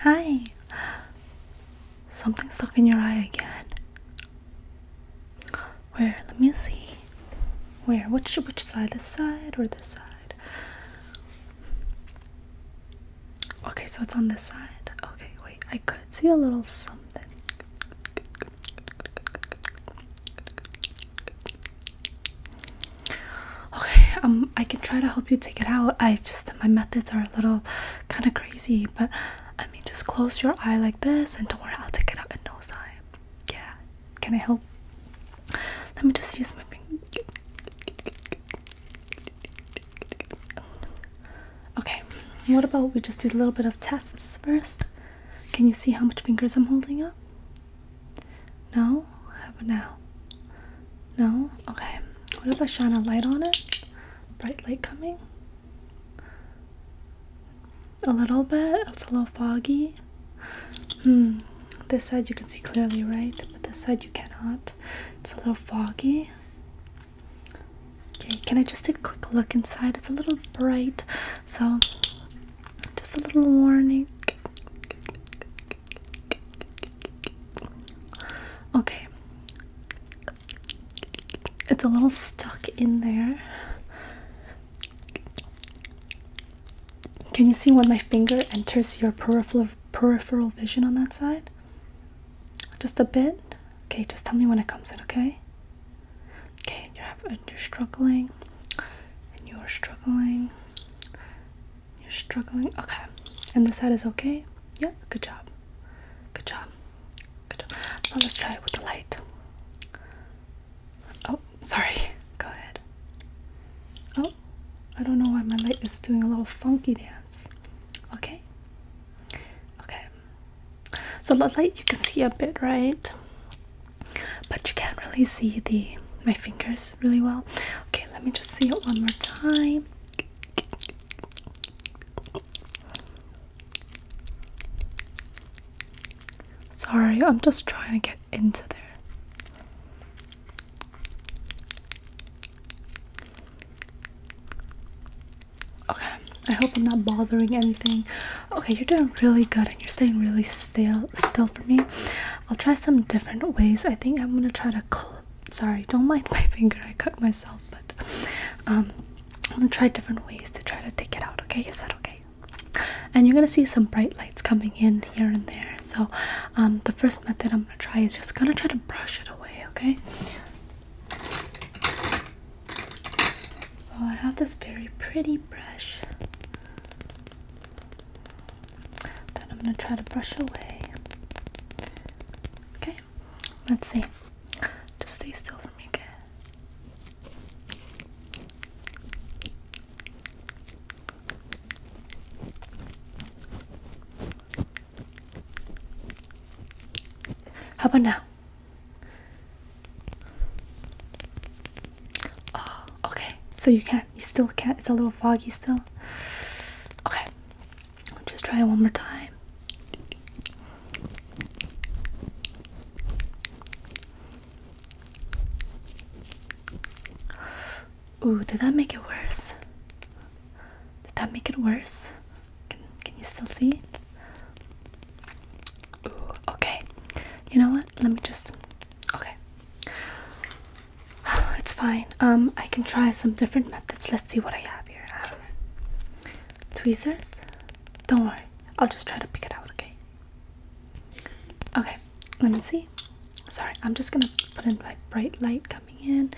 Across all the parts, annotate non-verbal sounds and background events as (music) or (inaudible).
Hi! Something stuck in your eye again. Where? Let me see. Where? Which, which side? This side or this side? Okay, so it's on this side. Okay, wait. I could see a little something. Okay, um, I can try to help you take it out. I just my methods are a little kind of crazy, but I mean, just close your eye like this, and don't worry, I'll take it out in no time. Yeah, can I help? Let me just use my finger. Okay, what about we just do a little bit of tests first? Can you see how much fingers I'm holding up? No? How about now? No? Okay. What if I shine a light on it? Bright light coming? A little bit? It's a little foggy. Hmm. This side you can see clearly, right? But this side you cannot. It's a little foggy. Okay, can I just take a quick look inside? It's a little bright, so just a little warning. Okay. It's a little stuck in there. Can you see when my finger enters your peripheral peripheral vision on that side? Just a bit. Okay, just tell me when it comes in, okay? Okay, you're, you're struggling, and you're struggling, you're struggling. Okay. And the side is okay? Yep. Yeah? Good job. Good job. Good job. Now let's try it with the light. Oh, sorry. Go ahead. Oh, I don't know why my light is doing a little funky dance. Okay. Okay. So the light you can see a bit, right? But you can't really see the my fingers really well. Okay, let me just see it one more time. Sorry, I'm just trying to get into there. Okay, I hope I'm not bothering anything. Okay, you're doing really good and you're staying really still still for me. I'll try some different ways. I think I'm gonna try to. Sorry, don't (laughs) mind my finger. I cut myself, but um, I'm gonna try different ways to try to take it out. Okay, is that okay? And you're gonna see some bright lights coming in here and there. So um, the first method I'm gonna try is just gonna try to brush it away. Okay. So I have this very pretty brush that I'm going to try to brush away. Okay, let's see. Just stay still for me, okay? How about now? Oh, okay. So you can't. You still can't. It's a little foggy still. Okay. just try it one more time. Ooh, did that make it worse? Did that make it worse? Can, can you still see? Ooh, okay. You know what? Let me just Okay. (sighs) It's fine. Um, I can try some different methods. Let's see what I have here. Um, tweezers? Don't worry. I'll just try to pick it out, okay? Okay, let me see. Sorry, I'm just gonna put in my bright light coming in.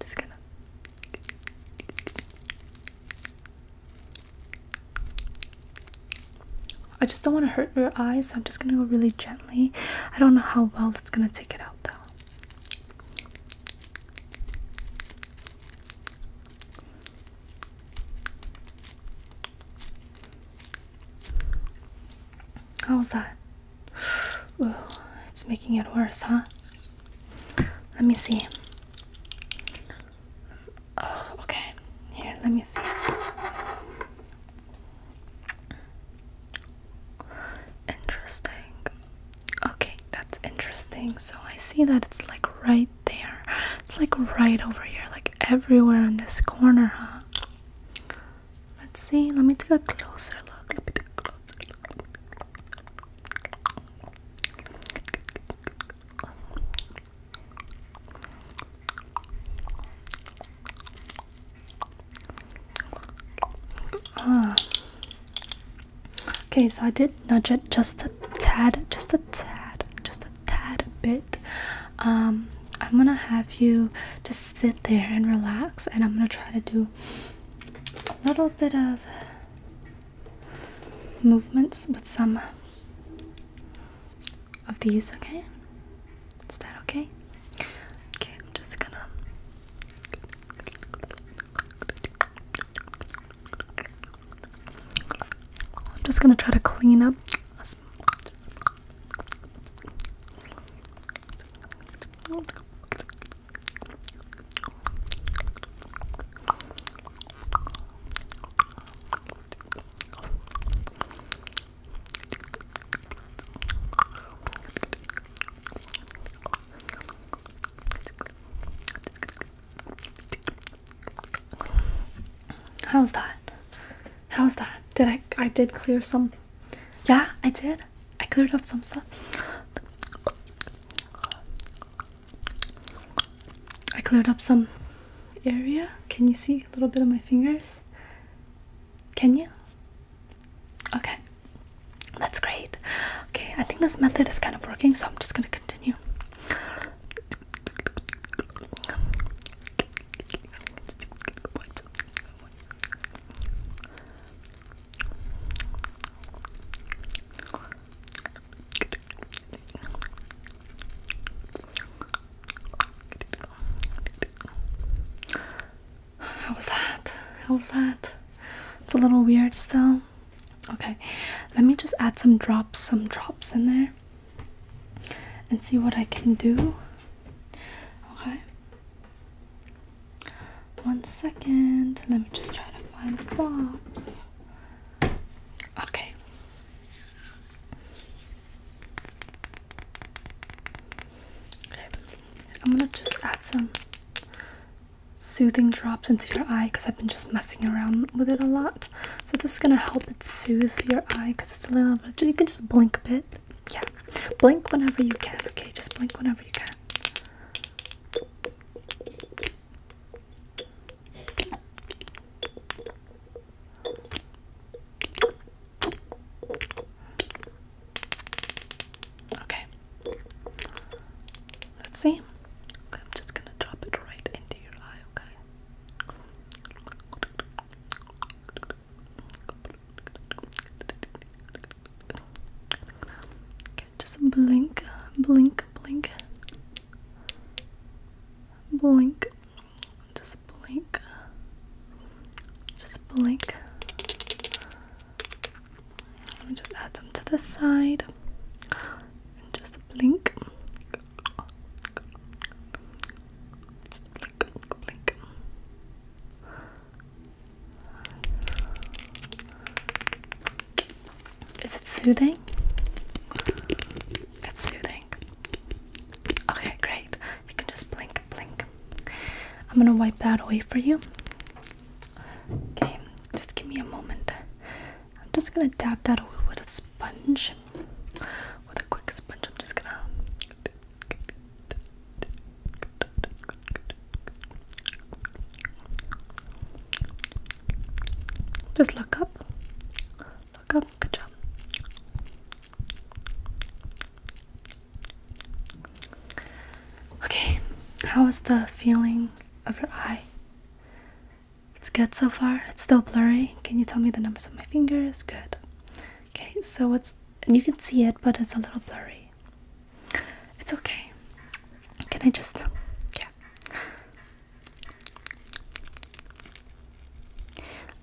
Just gonna. I just don't want to hurt your eyes, so I'm just gonna go really gently. I don't know how well that's gonna take it out though. How's that? Ooh, it's making it worse, huh? Let me see. Oh, okay. Here, let me see. Interesting. Okay, that's interesting. So I see that it's like right there. It's like right over here, like everywhere in this corner, huh? Let's see. Let me take a closer look. Let me take a closer look. Ah. Okay, so I did nudge it just a tad, just a tad, just a tad bit. Um, I'm gonna have you just sit there and relax, and I'm gonna try to do a little bit of movements with some of these, okay? Is that okay? Okay, I'm just gonna. I'm just gonna try to clean up. How's that? How's that? Did I I did clear some Yeah, I did. I cleared up some stuff. I cleared up some area. Can you see a little bit of my fingers? Can you? Okay, that's great. Okay, I think this method is kind of working, so I'm just gonna continue. How was that? How was that? It's a little weird still. Okay, let me just add some drops, some drops in there and see what I can do. Okay. One second. Let me just try to find the drops. Okay. Okay. I'm gonna just add some soothing drops into your eye because I've been just messing around with it a lot. So this is gonna help it soothe your eye because it's a little bit. You can just blink a bit. Yeah, blink whenever you can. Okay, just blink whenever you can. Okay. Let's see. I'm just gonna drop it right into your eye, okay? just blink, blink, blink blink just blink just blink let me just add some to the side just blink just blink blink is it soothing? It's soothing. Okay, great. You can just blink, blink. I'm gonna wipe that away for you. Okay, just give me a moment. I'm just gonna dab that away with a sponge. With a quick sponge, I'm just gonna. Just look up. Look up. Good job. Okay, how is the feeling of your eye? It's good so far. It's still blurry. Can you tell me the numbers of my fingers? Good. Okay, so it's you can see it, but it's a little blurry. It's okay. Can I just yeah?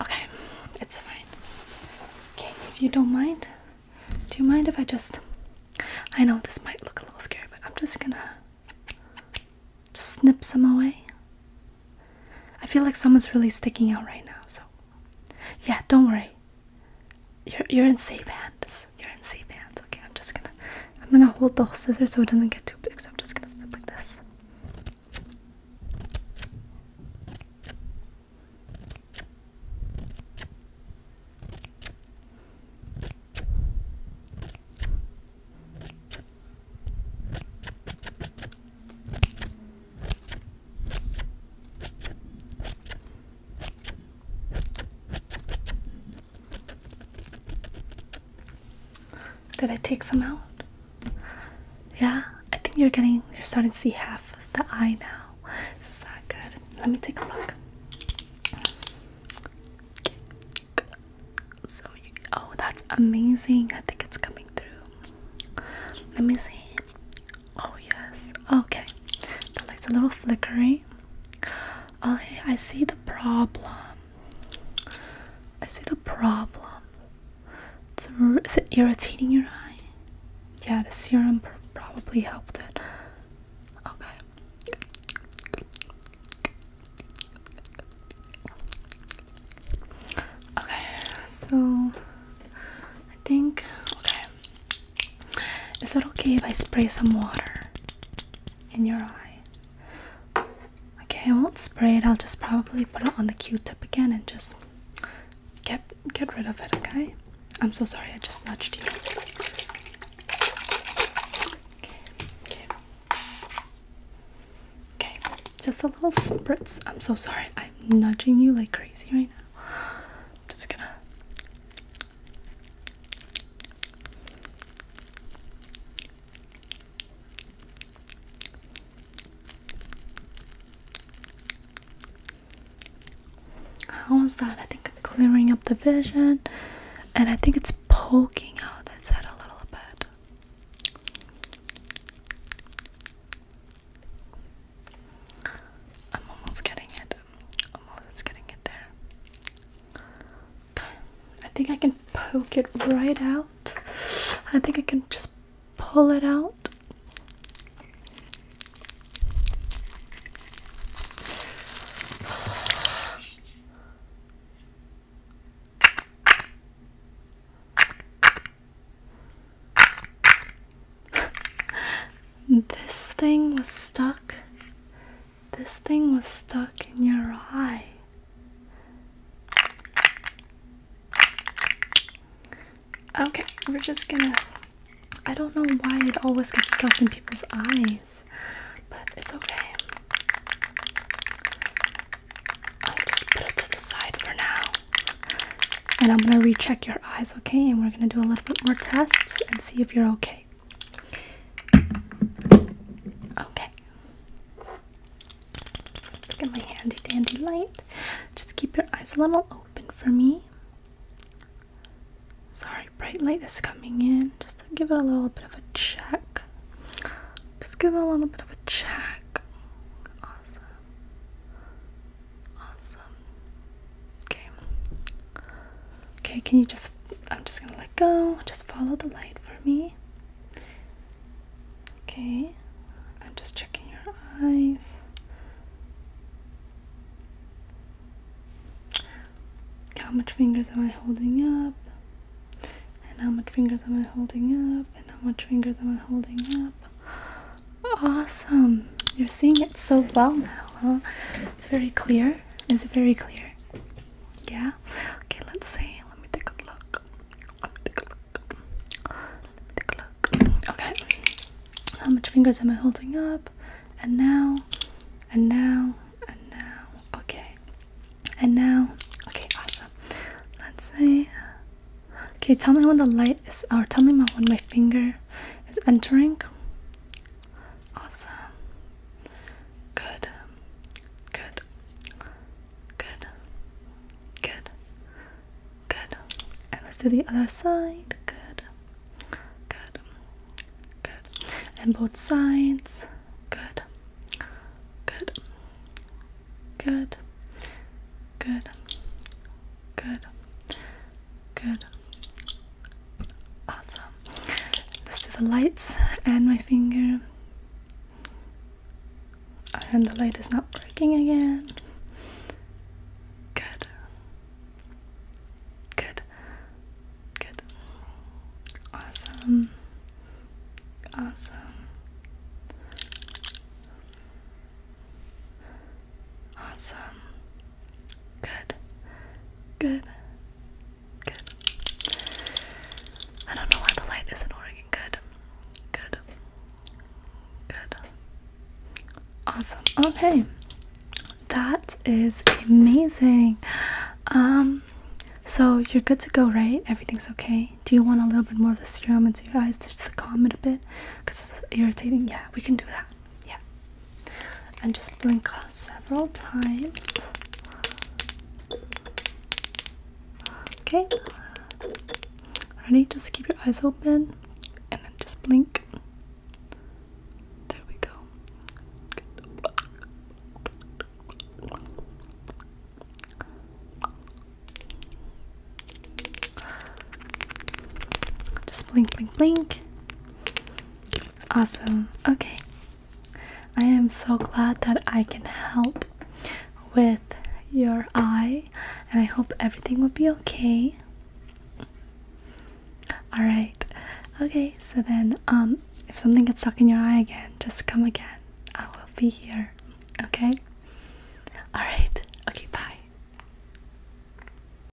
Okay, it's fine. Okay, if you don't mind, do you mind if I just. I know this might look a little scary, but I'm just gonna just snip some away. I feel like someone's really sticking out right now, so. Yeah, don't worry. You're, you're in safe hands. You're in safe hands. Okay, I'm just gonna I'm gonna hold the scissors so it doesn't get too big, so I'm just gonna snip like this. Did I take some out? Yeah, I think you're getting, you're starting to see half of the eye now. Is that good? Let me take a look. So, you, oh, that's amazing. I think it's coming through. Let me see. Oh, yes. Okay. The light's a little flickery. Oh Okay, I see the problem. I see the problem. is it irritating your eye? Yeah, the serum probably helped it. Okay. Okay, so I think, okay. Is it okay if I spray some water in your eye? Okay, I won't spray it. I'll just probably put it on the Q-tip again and just get get rid of it. Okay. I'm so sorry. I just nudged you. Okay. Okay. Just a little spritz. I'm so sorry. I'm nudging you like crazy right now. I'm just gonna how is that? I think I'm clearing up the vision and I think it's poking out that side a little bit. I'm almost getting it. I'm almost getting it there. I think I can poke it right out. I think I can just pull it out. (sighs) this thing was stuck this thing was stuck in your eye. Okay, we're just gonna. I don't know why it always gets stuck in people's eyes, but it's okay. I'll just put it to the side for now. And I'm gonna recheck your eyes, okay? And we're gonna do a little bit more tests and see if you're okay. Okay. Look at my handy dandy light. Just keep your eyes a little open for me. Sorry, bright light is coming in. Just to give it a little bit of a check. Just give it a little bit of a check. Awesome. Awesome. Okay. Okay, can you just I'm just gonna let go. Just follow the light for me. Okay, I'm just checking your eyes. How much fingers am I holding up? And how much fingers am I holding up? And how much fingers am I holding up? Awesome! You're seeing it so well now, huh? It's very clear. It's very clear? Yeah? Okay, let's see. Let me take a look. take a look. take a look. Okay. How much fingers am I holding up? And now, and now, and now. Okay. And now. Okay, awesome. Let's see. Okay, tell me when the light is, or tell me when my finger is entering. Awesome. Good. Good. Good. Good. Good. And let's do the other side. Good. Good. Good. And both sides. Good. Good. Good. Good. Good. Good. Awesome. Let's do the lights and my finger. And the light is not working again. Good. Good. Good. Awesome. Awesome. Awesome. Good. Good. Good. I don't know why the light isn't working. Good. Good. Good. Awesome. Okay. That is amazing. Um so you're good to go, right? Everything's okay. Do you want a little bit more of the serum into your eyes just to calm it a bit? Because it's irritating. Yeah, we can do that. Yeah. And just blink several times. Okay. Ready? Just keep your eyes open and then just blink. There we go. Just blink, blink, blink. Awesome. Okay. I am so glad that I can help with your eye, and I hope everything will be okay. All right. Okay. So then, um, if something gets stuck in your eye again, just come again. I will be here. Okay. All right. Okay. Bye.